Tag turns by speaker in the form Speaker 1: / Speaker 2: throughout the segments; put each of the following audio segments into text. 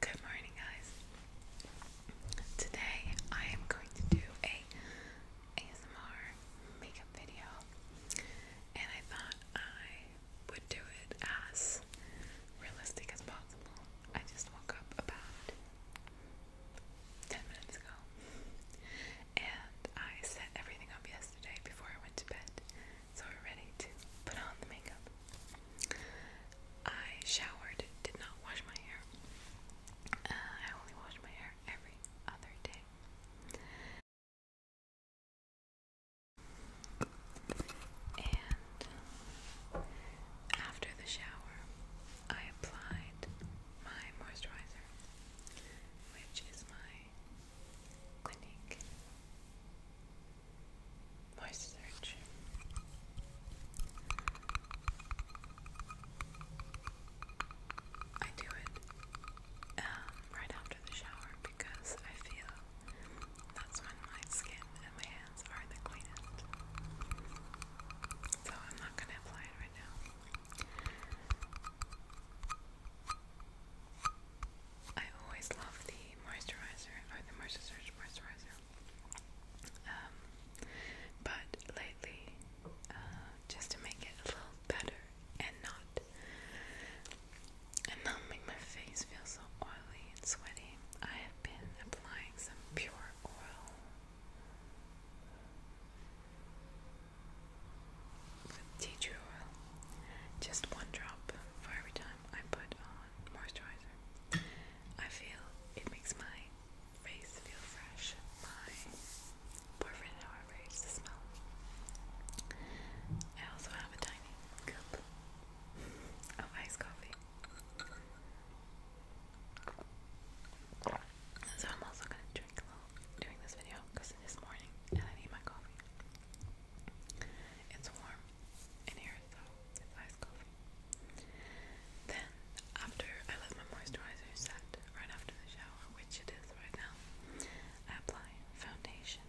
Speaker 1: Good morning, guys. Today I am going to do a ASMR makeup video, and I thought I would do it as realistic as possible. I just woke up about 10 minutes ago and I set everything up yesterday before I went to bed, so we're ready to put on the makeup. I showered, did not wash my hair. Uh, I only wash my hair every other day after the shower, I applied my moisturizer, which is my Clinique Moist I do it um, right after the shower because I feel that's when my skin and my hands are the cleanest. So I'm not going to apply it right now. I always love the moisturizer, or the Mercer moisturizer. Um, but lately, uh, just to make it a little better and not and not make my face feel so oily and sweaty, I have been applying some pure oil. tea tree oil, just one drop for every time I put on moisturizer. I feel it makes my face feel fresh. My boyfriend, however, hates the smell. I also have a tiny cup of iced coffee so I'm also gonna drink a little during this video because it is morning and I need my coffee. It's warm in here, so it's iced coffee. Then after I let my moisturizer set right after the shower, which it is right now, I apply foundation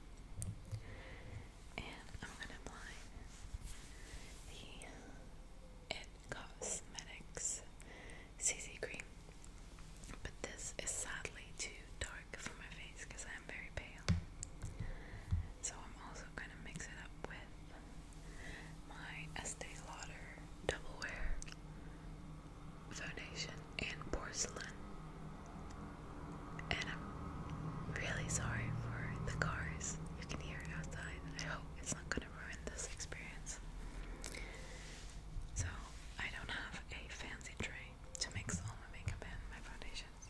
Speaker 1: and I'm going to apply the It Cosmetics CC cream. But this is sadly too dark for my face because I am very pale. So I'm also going to mix it up with my Estee Lauder Double Wear Foundation and Porcelain. And I'm really sorry for the cars. You can hear it outside. I hope it's not going to ruin this experience. So, I don't have a fancy tray to mix all my makeup and my foundations.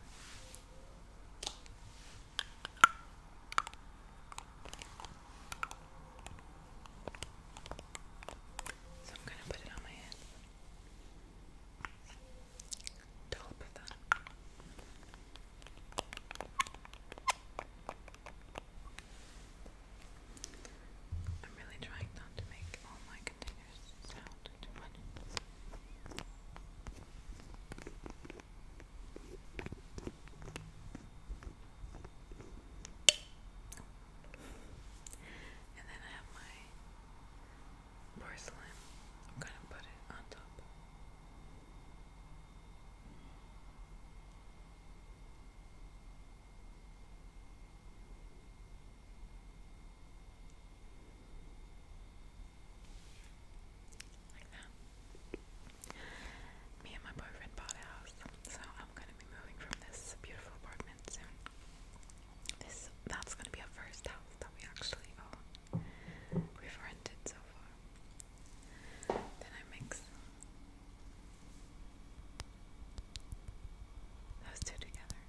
Speaker 1: So I'm going to put it on my head. Dollop of that. I'm really trying not to make all my containers sound too much. And then I have my porcelain. I'm gonna put it on top. Like that. Me and my boyfriend bought a house, so I'm gonna be moving from this beautiful apartment soon. This that's gonna be our first house that we actually own we've rented so far. Then I mix those two together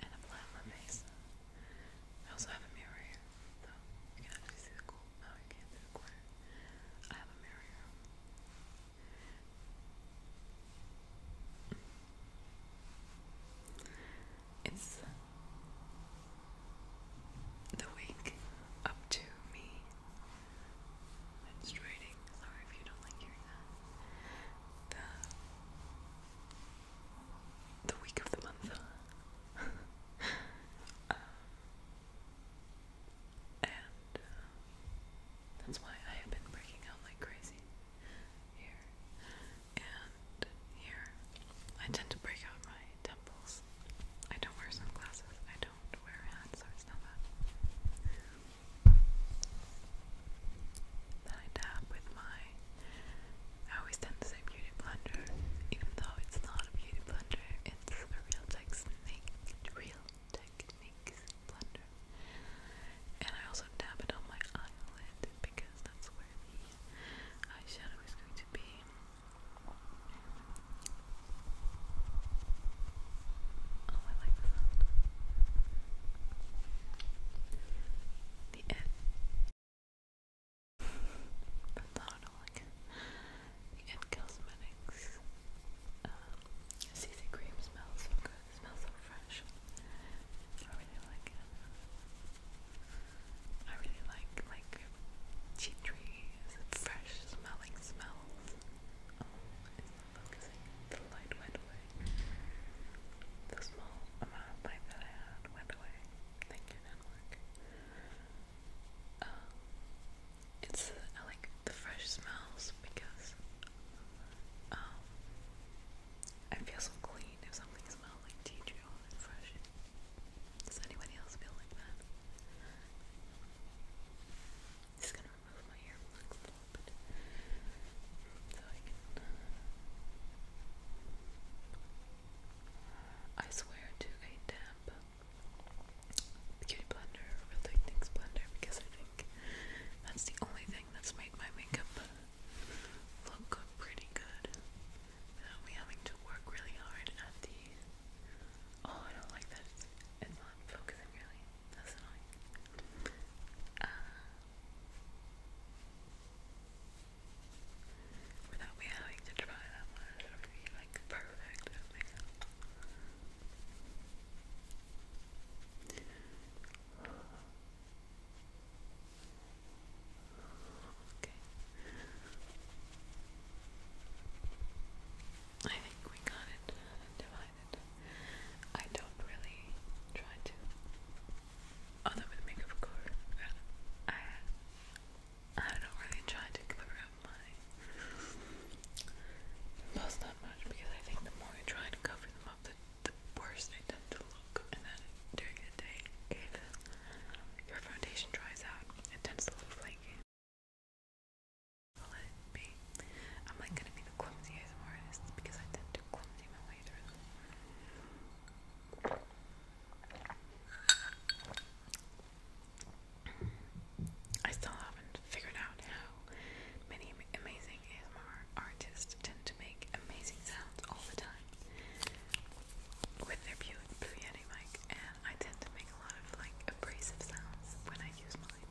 Speaker 1: and apply on my I also have a mirror here, so you can actually see the cool. No, you can't see the corner. I have a mirror it's the wig up to me menstruating. Sorry if you don't like hearing that. The the week of the month. Um, and uh, that's why I have been breaking out like crazy here and here. I tend to break out my temples. I don't wear sunglasses. I don't wear hats, so it's not that. Then I dab with my. I always tend to same beauty blender, even though it's not a beauty blender. It's a real technique, real techniques blender. And I also dab it on my eyelid because that's where the eyeshadow is going to be. Oh, I like the sound. The F. But not like the Ed Cosmetics um, CC cream smells so good. It smells so fresh. I really like it. I really like like cheap fresh smelling smells. Oh, the light went away. The small amount of light that I had went away. Um, it's uh, like the fresh smells because um, I feel so clean if something does anybody else feel like that? I'm gonna remove my earplugs a little bit uh, I swear to a damp beauty blender, real techniques blender, because I think that's the only thing that's made my makeup look pretty good without me having to work really hard at the. Oh, I don't like that. It's, not focusing really. That's annoying. Uh, without me having to try that much or be like perfect makeup. Okay. I think we got it uh, divided. I don't really try to. Although with makeup, of course, uh, I I don't really try to cover up my. Plus that much because I think the more I try to cover them up, the the worse they tend to look. And then during the day, if your foundation dries out, it tends to look flaky. i am like gonna be the clumsy ASMR artist because I tend to clumsy my way through I still haven't figured out how many amazing ASMR artists tend to make amazing sounds all the time with their Blue Yeti mic, and I tend to make a lot of like abrasive sounds when I use mine.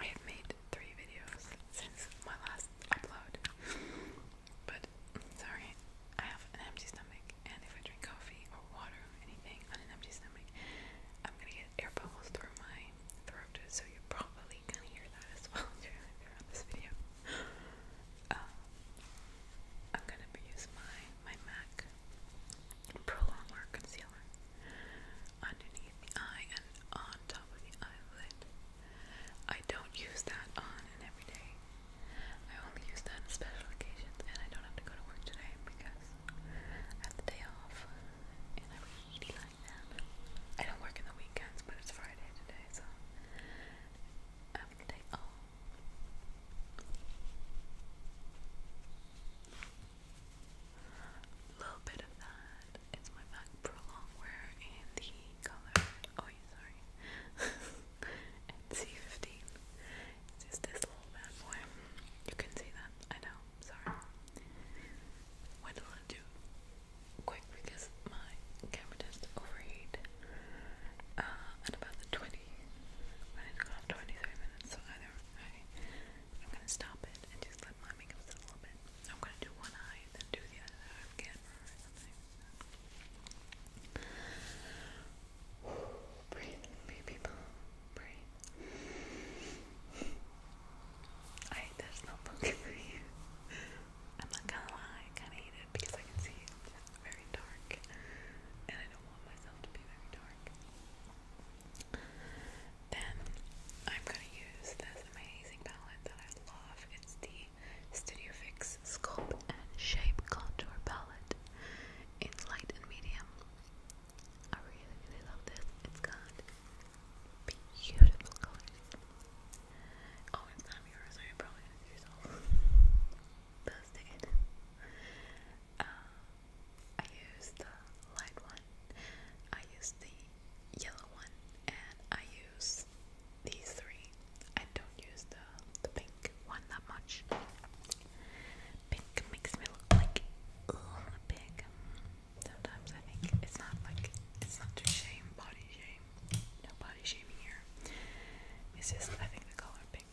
Speaker 1: I have made three videos since my last upload, but sorry, I have an empty stomach, and if I drink coffee or water or anything on an empty stomach, I'm gonna get air bubbles through my throat so you probably can hear that as well during, during this video. Um, I'm gonna use my my Mac Pro Longwear concealer underneath the eye and on top of the eyelid. I don't use that on an everyday. I only use that on special occasions, and I don't have to go to work today because I have the day off, I don't work in the weekends, but it's Friday today, so I'm going A little bit of that. It's my Mac Pro in the color. Oh, sorry. and C15. It's just this little bad boy. You can see that. I know. Sorry. What will it do? quick because my camera does overheat uh, about the 20 when it's 23 minutes so either I, am gonna stop it and just let my makeup sit a bit I'm gonna do one eye and then do the other eye again or something Breathe, me Breathe. I there's no pumpkin I'm not gonna lie, I kinda hate it because I can see It's very dark. And I don't want myself to be very dark. Then I'm gonna use this amazing palette that I love. It's the Studio Fix Sculpt and Shape Contour Palette in light and medium. I really, really love this. It's beautiful colors. Oh, it's not yours, so you're probably gonna do yourself. That's it. Uh, I used the light one, I used the yellow one, and I use these three. I don't use the, the pink one that much. Pink makes me look like a pig. Sometimes I think it's not like it's not to shame, body shame, no body shaming here. It's just I think the color pink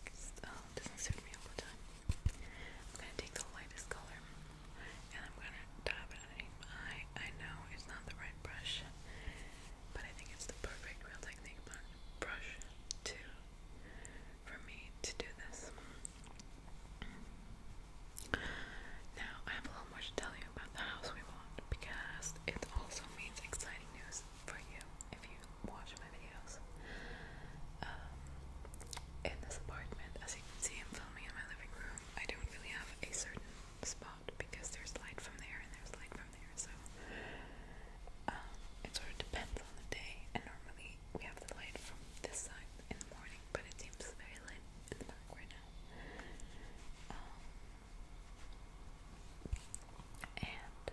Speaker 1: um, doesn't suit me all the time. I'm gonna take the lightest color and I'm gonna dab it underneath my eye. I know it's not the right brush, but I think it's the perfect real technique brush to for me to do this. Now, I have a lot more to tell you about the house we want because it also means exciting news for you if you watch my videos. Um, in this apartment, as you can see, I'm filming in my living room. I don't really have a certain spot because there's light from there and there's light from there, so um, it sort of depends on the day. And normally we have the light from this side in the morning, but it seems very light in the dark right um, and uh,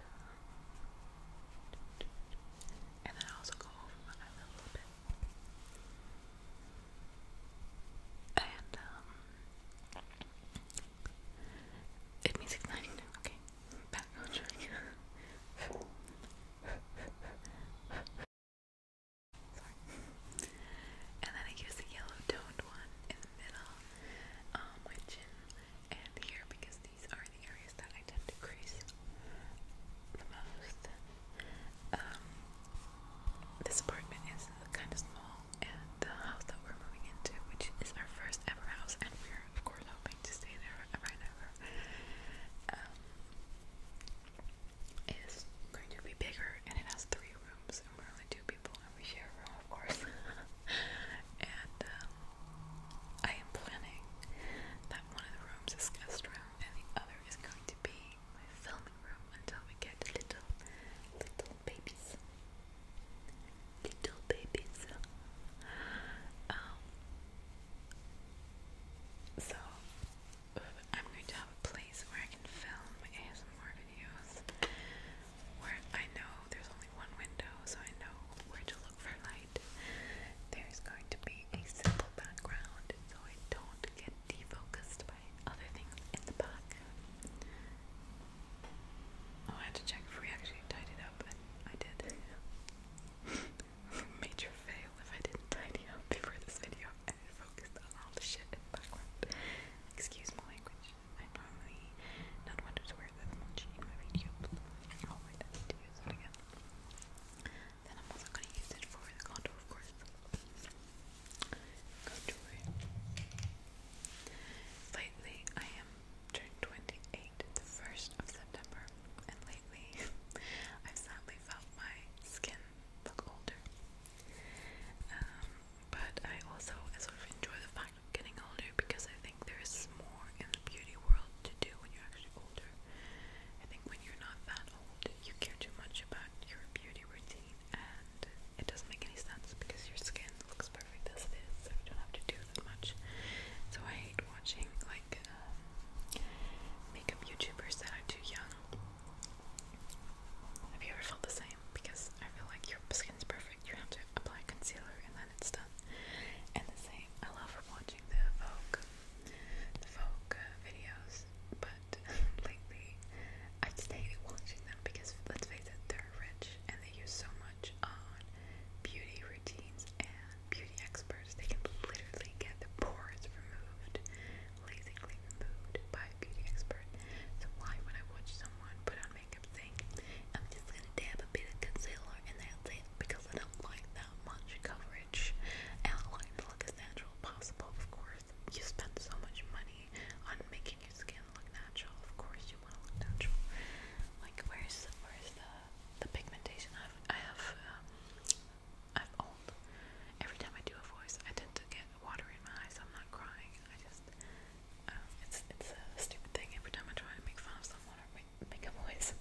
Speaker 1: and then I also go over my eyelid a little bit. And um, it means it's ninety okay. Back And then I use the yellow toned one in the middle on um, and here because these are the areas that I tend to crease the most. Um, this apartment is kind of small and the house that we're moving into, which is our first ever house and we're of course hoping to stay there forever and ever. Um, is going to be bigger and it has three rooms and we're only two people and we share a room of course and um, I am planning that one of the rooms is guest room and the other is going to be my filming room until we get little little babies little babies um, so I'm going to have a place where I can film ASMR videos where I know there's only one window, so I know where to look for light. There's going to be a simple background so I don't get defocused by other things in the back. Oh, I had to check if we actually tied up, and I did. Major fail if I didn't tidy up before this video and it on all the shit in the background. Excuse my language. I normally not want to swear that much in my videos. I don't need to use it again. Then I'm also gonna use it for the contour, of course. Contour. Lately, I am turned 28 the 1st of September, and lately I've sadly felt my skin look older. Um, but I also I sort of enjoy the fact of getting older because I think there is more in the beauty world to do when you're actually older. I think when you're not that old, you care too much about your beauty routine, and it doesn't make any sense because your skin looks perfect as it is, so you don't have to do that much. So I hate watching like um, makeup YouTubers that are too young have you ever felt the same? Because I feel like your skin is perfect. You have to apply concealer and then it's done. And the same. I love watching the Vogue, the Vogue videos, but lately I have hated watching them because let's face it, they're rich and they use so much on beauty routines and beauty experts. They can literally get the pores removed lazily removed by a beauty expert. So why would I watch someone put on makeup saying, I'm just gonna dab a bit of concealer and that's because I don't like that much coverage and to look natural possible, of course. You spend so much money on making your skin look natural, of course you want to look natural. Like where's where's the the pigmentation I've I have um Every time I do a voice I tend to get water in my eyes. I'm not crying. I just, um, it's it's a stupid thing. Every time I try to make fun of someone or make, a voice,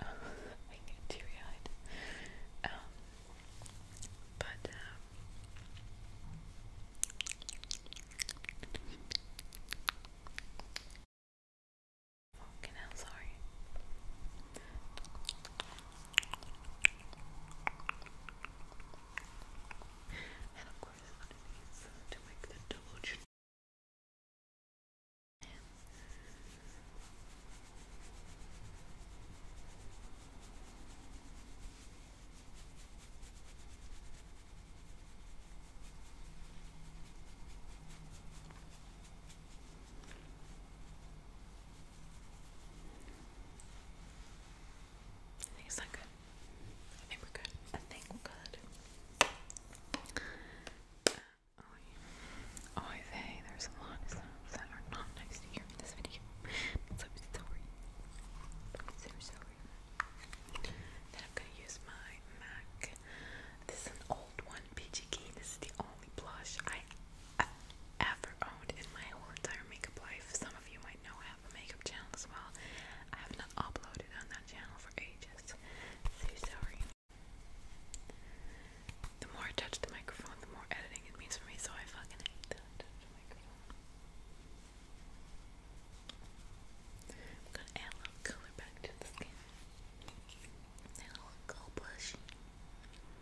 Speaker 1: I get teary-eyed. Um, but um, hell, sorry. And of course, to make the double chin. I think it's not good. I think we're good. I think we're good. Uh, oh, yeah. oh, I there's a lot of sounds that are not nice to hear in this video. So sorry. i sorry. Then I'm gonna use my MAC. This is an old one, PG Key. This is the only blush I ever owned in my whole entire makeup life. Some of you might know I have a makeup channel as well. I have not uploaded on that channel for ages. The more I touch the microphone, the more editing it means for me, so I fucking hate that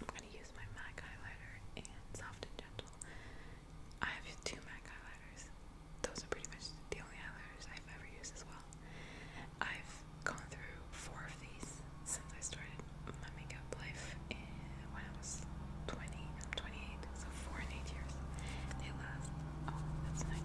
Speaker 1: I'm going to use my MAC highlighter in Soft and Gentle. I have two MAC highlighters. Those are pretty much the only highlighters I've ever used as well. I've gone through four of these since I started my makeup life in, when I was 20. I'm 28, so four and eight years. They last. Oh, that's nice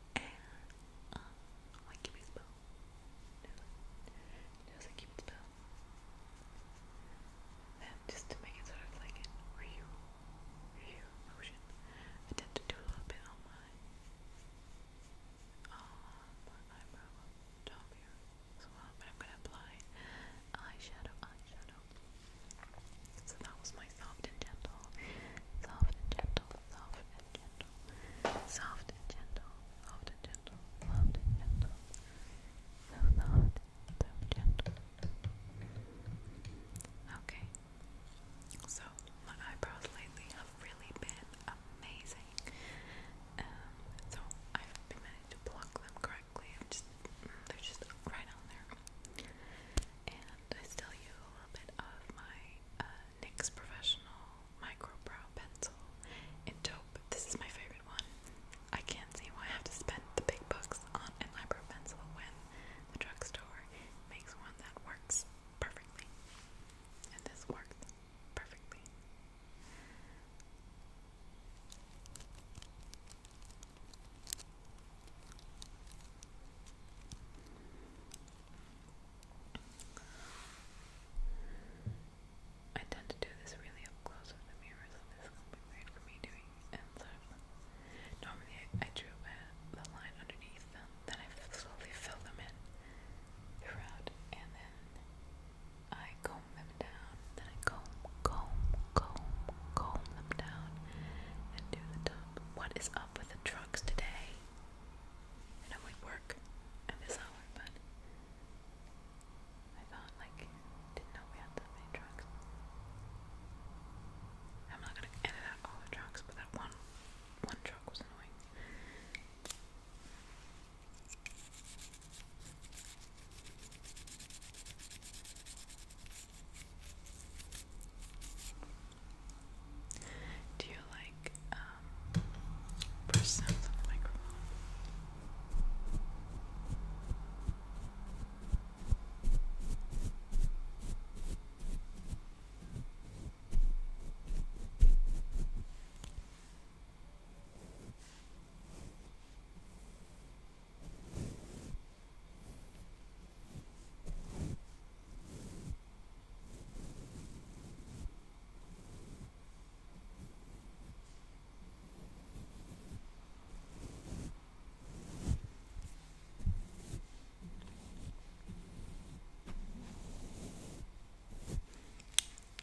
Speaker 1: And um, my cupid's bow. There's a cupid's bow. Then just to make it sort of like a real, real motion, I tend to do a little bit on my, on my eyebrow top here as I'm gonna apply eyeshadow, eyeshadow. So that was soft and gentle, soft and gentle, soft and gentle, soft and gentle, soft and gentle, soft and gentle, so soft, so gentle. Okay, so my eyebrows lately have really been amazing. Um, so I've been managed to pluck them correctly. just mm, they're just right on there and I still use a little bit of my uh, NYX Professional Micro Brow Pencil in taupe. This is my favorite one. I can't see why I have to spend the big bucks on an eyebrow pencil when the drugstore makes one that works perfectly. And this works perfectly. I tend to do this really up close with the mirror, so this is for me doing it. So normally, I, drew the line underneath then I slowly fill them in throughout, and then I comb them down. Then I comb, comb, comb, comb them down, and do the top. What is up with the tri drugs today. I know we work at this hour, but I thought, like, didn't know we had that many drugs. I'm not gonna edit out all the drugs, but that one, one drug was annoying. Do you like um, push sounds on the microphone?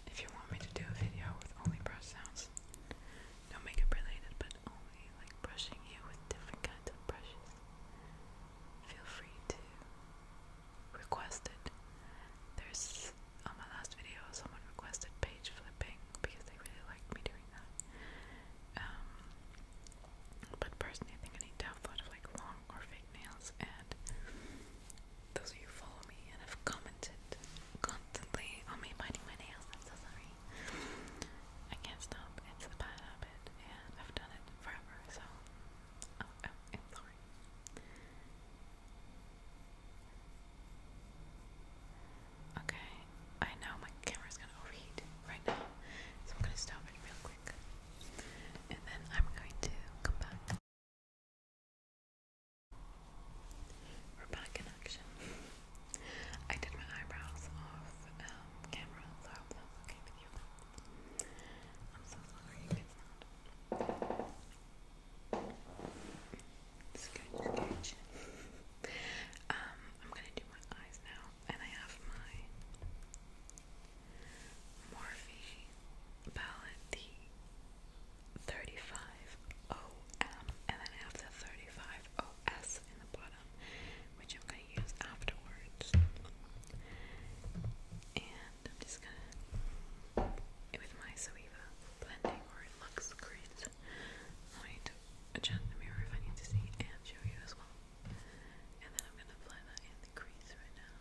Speaker 1: If you want me to do a video with only brush sounds, no makeup related, but only like brushing you with different kinds of brushes, feel free to request it. There's on my last video, someone requested page flipping because they really liked me doing that. Um, but personally, I think I need to have a of like long or fake nails. And those of you follow me and have commented constantly on me biting my nails, I'm so sorry. I can't stop. It's a bad habit, and I've done it for Oh, oh, okay, I know my camera's gonna overheat right now, so I'm gonna stop it real quick, and then I'm going to come back. We're back in action. I did my eyebrows off um, camera, okay with you um, I'm gonna do my eyes now, and I have my Morphe palette, 35 OM, and then I have the 35 OS in the bottom them, which I'm going to use afterwards. And I'm just going to, with my Zoeva blending or Lux Crease, I'm to adjust the mirror if I need to see and show you as well. And then I'm going to apply that in the crease right now.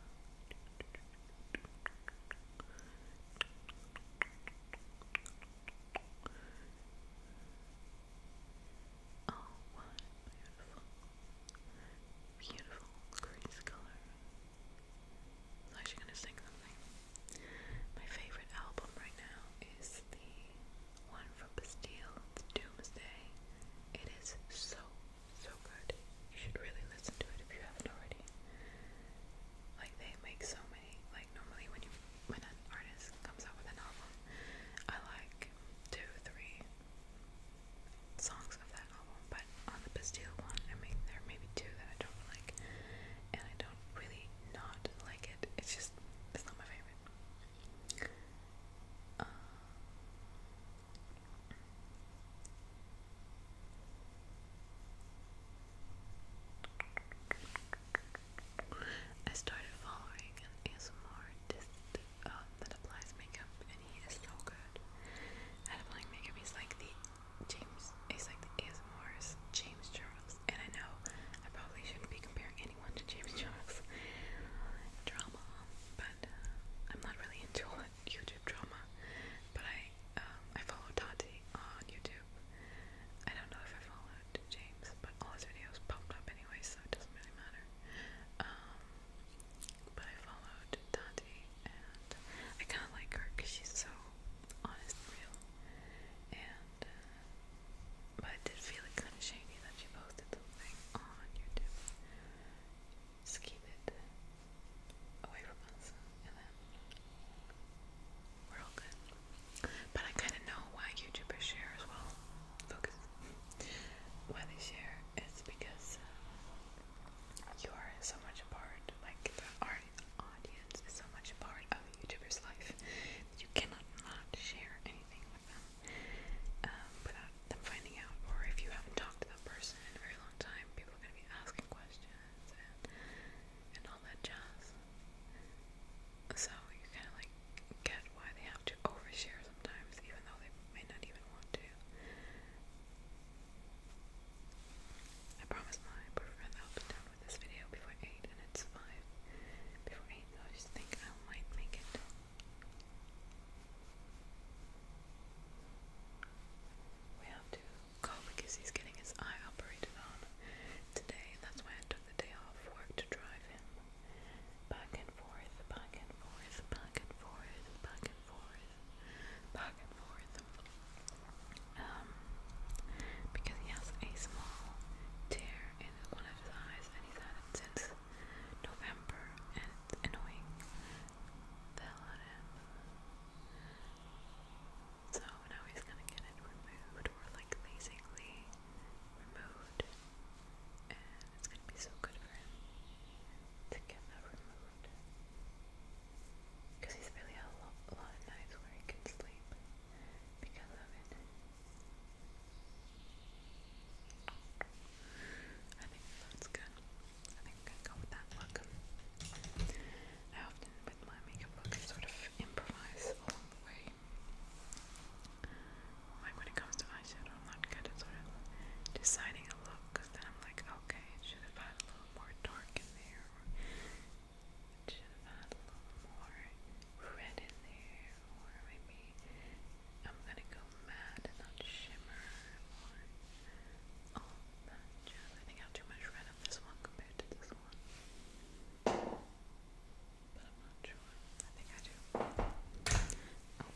Speaker 1: Oh, what beautiful, beautiful crease color. I'm actually gonna sing something. My favorite album right now is the one from Bastille, it's Doomsday. It is so, so good. You should really listen to it if you haven't already. Like they make so many like normally when you when an artist comes out with an album, I like two, three, songs of that album, but on the Bastille one, I mean, there maybe two that I don't like, and I don't really not like it. It's just, it's not my favorite. Uh, I started following an ASMR distant um, that applies makeup, and he is so good at applying makeup. He's like the James, he's like the ASMR's James Charles. And I know I probably shouldn't be comparing anyone to James Charles drama, but uh, I'm not really into YouTube drama. But I, um, I follow Tati on YouTube. I don't know if I followed James, but all his videos popped up anyway, so it doesn't really matter. Um, but I followed Tati and I kind of like her because she's so honest real. And, uh, but I did feel it kind of shady that she posted something on YouTube. Just keep it away from us and then we're all good. But I kind of know why YouTubers share as well focus when they share it's because uh, you are so much a part like the audience is so much a part of youtuber's life that you cannot not share anything with them without um, uh, them finding out or if you haven't talked to that person in a very long time people are going to be asking questions and and all that jazz so you kind of like get why they have to overshare sometimes, even though they may not even want to. I promise my boyfriend I'll be done with this video before 8 and it's 5. Before 8 I just think I might make it. We have to go because he's getting his eye operated on today. That's why I took the day off work to drive him back and forth, back and forth, back and forth, back and forth, back and forth. Um, because he has a small tear in one of his eyes, and he's had it since November, and it's annoying the him. So now he's gonna get it removed, or like basically removed, it's going to be so good for him to get that removed. Because he's really had a, lot of nights where he can sleep because of it. I think that's good. I think I'm go with that I often, with my makeup sort of improvise along the way like when it comes to eyeshadow, I'm not good at sort of deciding a look because then I'm like, okay, it should have had a little more dark in there, it should have had a little more red in there, or maybe I'm gonna go matte and not shimmer, or all that jazz. I think I too much red on this one compared to this one. But I'm not sure. I think I do. Oh,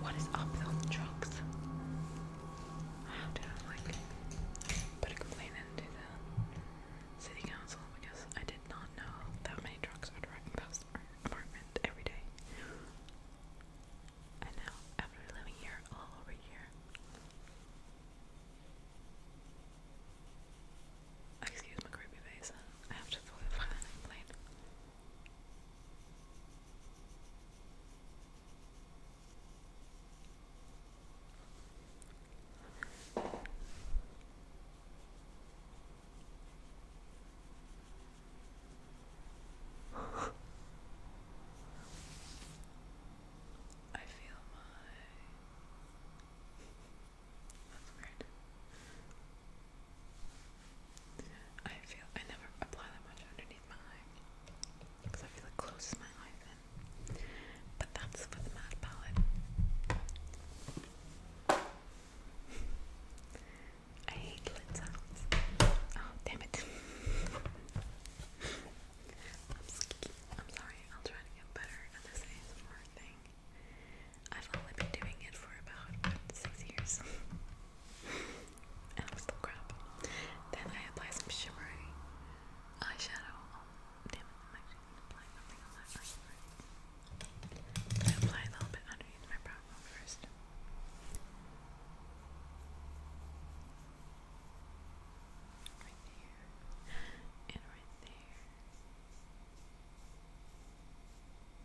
Speaker 1: What is up with all the trucks? I hope they like Put a complaint into the city council because I did not know that many drugs were driving past our apartment every day. And now, after living here all over a Excuse my creepy face. I have to throw the I feel my that's weird. I feel I never apply that much underneath my eye because I feel it closes my eyes But that's for the matte palette. I hate lid sounds. Oh damn it. I'm, sorry, I'll try to get better at this ASMR thing. I've only been doing it for about six years. and i still crap. Then I apply some shimmery eyeshadow. Oh, damn I'm actually something on that eye first. I apply a little bit underneath my brow bone first. Right there and right there.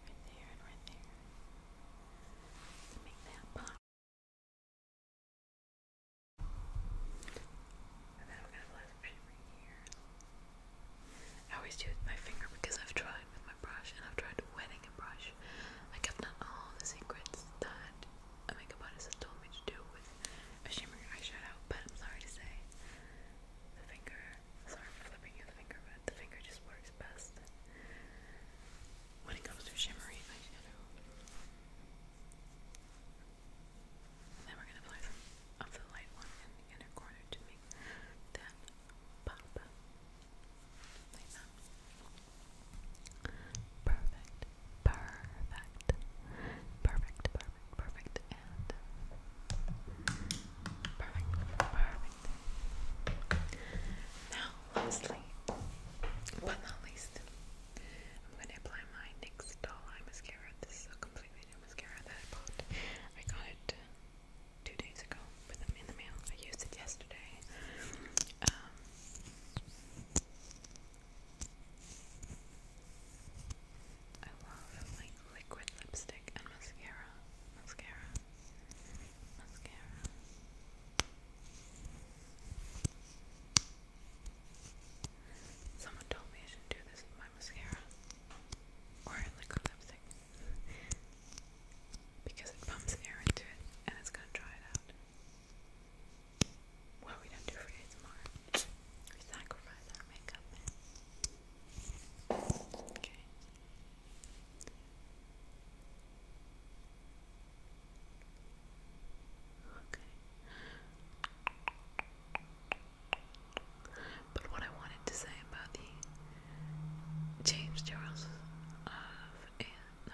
Speaker 1: Right there and right there. make that pop. And then we're gonna blend it right here. I always do it with my finger because I've tried with my brush and I've tried wetting a brush. Like I've all the secrets that a makeup artist told me to do with a shimmering eyeshadow, but I'm sorry to say, the finger, sorry for flipping you the finger, but the finger just works best when it comes to shimmery eyeshadow. then we're gonna apply some of the light one in the inner corner to make that pop. Like that. Perfect. Perfect. Perfect, perfect, perfect, and perfect, perfect. Now, lastly, but not least, I'm going to apply my NYX Doll Eye Mascara. This is a completely new mascara that I bought. I got it two days ago with them in the mail. I used it yesterday. Um, I love like liquid lipstick and mascara. Mascara. Mascara. Someone told me I should do this with my mascara. Or liquid lipstick. because it pumps air into it and it's gonna dry it out what we don't do for ASMR. We sacrifice our makeup Okay. Okay. But what I wanted to say about the James Charles of uh, no,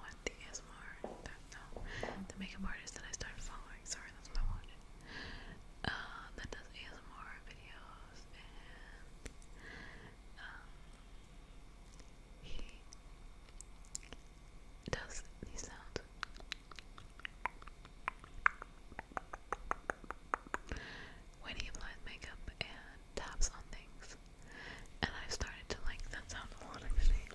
Speaker 1: what the the makeup artist that I started following, sorry, that's my one, uh, that does ASMR videos, and, um, he does these sounds, when he applies makeup and taps on things, and i started to like that sound a lot actually.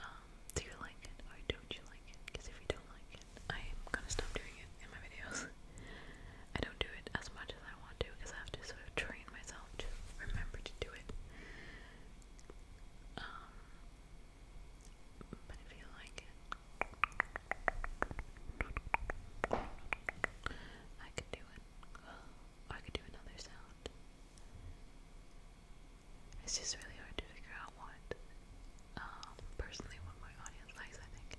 Speaker 1: Um, do you like it or don't you like it? Because if you don't like it, I am gonna stop doing it in my videos. I don't do it as much as I want to because I have to sort of train myself to remember to do it. Um, but if you like it, I could do it. I could do another sound. It's just really hard to figure out what, um, personally, what my audience likes, I think.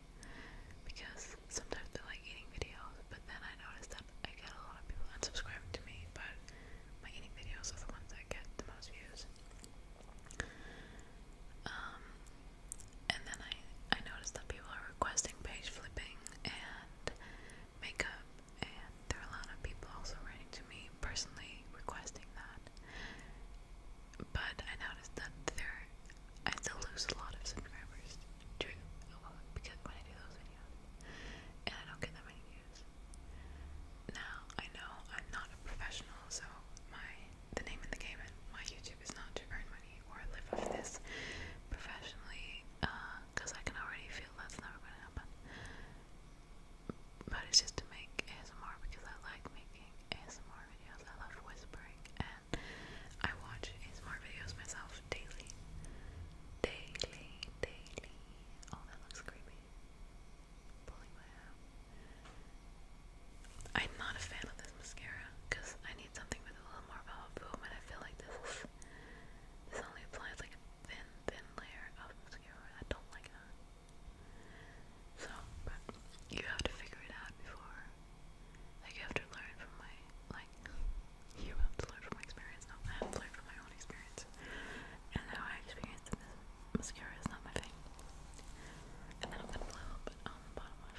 Speaker 1: Because sometimes they like eating videos, but then I noticed that I get a lot of people unsubscribing to me, but my eating videos are the ones that get the most views. Um, and then I, I noticed that people are requesting page flipping and makeup, and there are a lot of people also writing to me personally requesting that. But I noticed that there, I still lose a lot of subscribers, true, well, because when I do those videos, and I don't get that many views. Now I know I'm not a professional, so my the name of the game and my YouTube is not to earn money or live off this professionally, because uh, I can already feel that's never going to happen but it's just to make ASMR because I like making ASMR videos. I love whispering and I watch ASMR videos myself daily. Daily, daily. Oh, that looks creepy. Pulling my out. I'm not a fan of this mascara because I need something with a little more of boom, and I feel like this This only applies like a thin, thin layer of mascara. I don't like that. So, but you have to figure it out before. Like, you have to learn from my, like, you have to learn from my experience. No, I have to from my own experience. And how I experienced this mascara is not my thing. And then I'm gonna blow a bit on the bottom of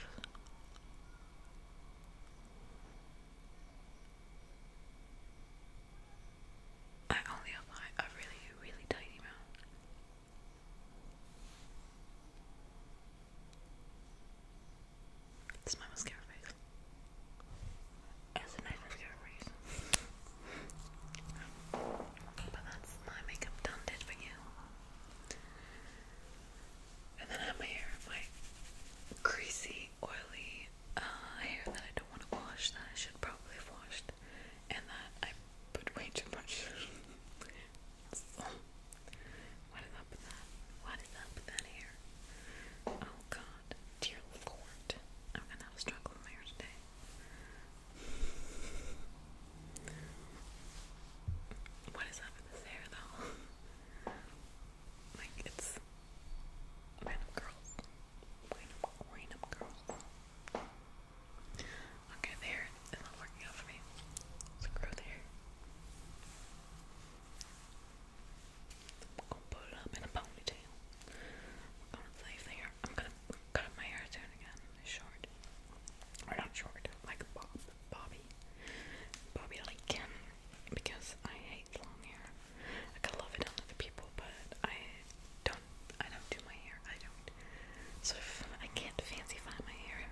Speaker 1: I only apply a really, really tiny amount. This is my mascara face. It's a nice mascara face. but that's my makeup done did for you. And then I have my hair, my greasy, oily, uh, hair that I don't want to wash that I should probably have washed and that I put way too much. what is up with that? What is up with that hair? Oh god, dear lord. I'm gonna have a struggle with my hair today. What is up with this hair though? like, it's kind curls. Wind up, wind up, girl. Okay, there. It's not working out for me. let grow there. I'm gonna put it up in a ponytail. I'm gonna leave the I'm gonna cut my hair down again. Short. Or not short. Like Bob. Bobby. Bobby like Kim. Um, because I hate long hair. I could love it on other people, but I don't. I don't do my hair. I don't. So I can't fancy-fy my hair,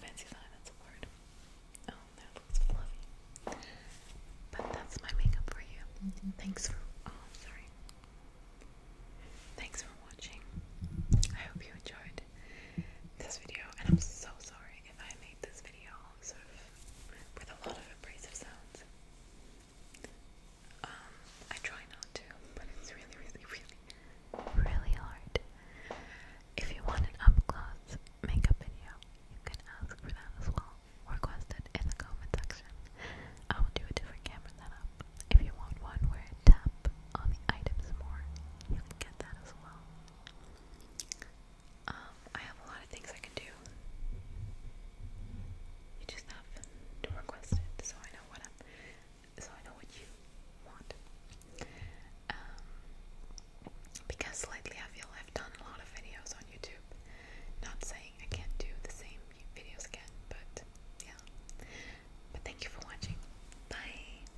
Speaker 1: Fancy-fy, that's a word. Oh, that looks fluffy. But that's my makeup for you. Thanks for. Oh, sorry. Thanks for watching. I hope you enjoyed this video, and I'm so sorry if I made this video sort of with a lot of abrasive sounds. Um, I try not to, but it's really, really, really, really hard. If you want an up close makeup video, you can ask for that as well. Request in the comment section. I will do a different camera setup. If you want one where I tap on the items more, you can get that as well. Um, I have a lot of things I can do. You just have to request it, so I know what so I know what you want. Um, because lately I feel I've done a lot of videos on YouTube. Not saying I can't do the same videos again, but yeah. But thank you for watching. Bye.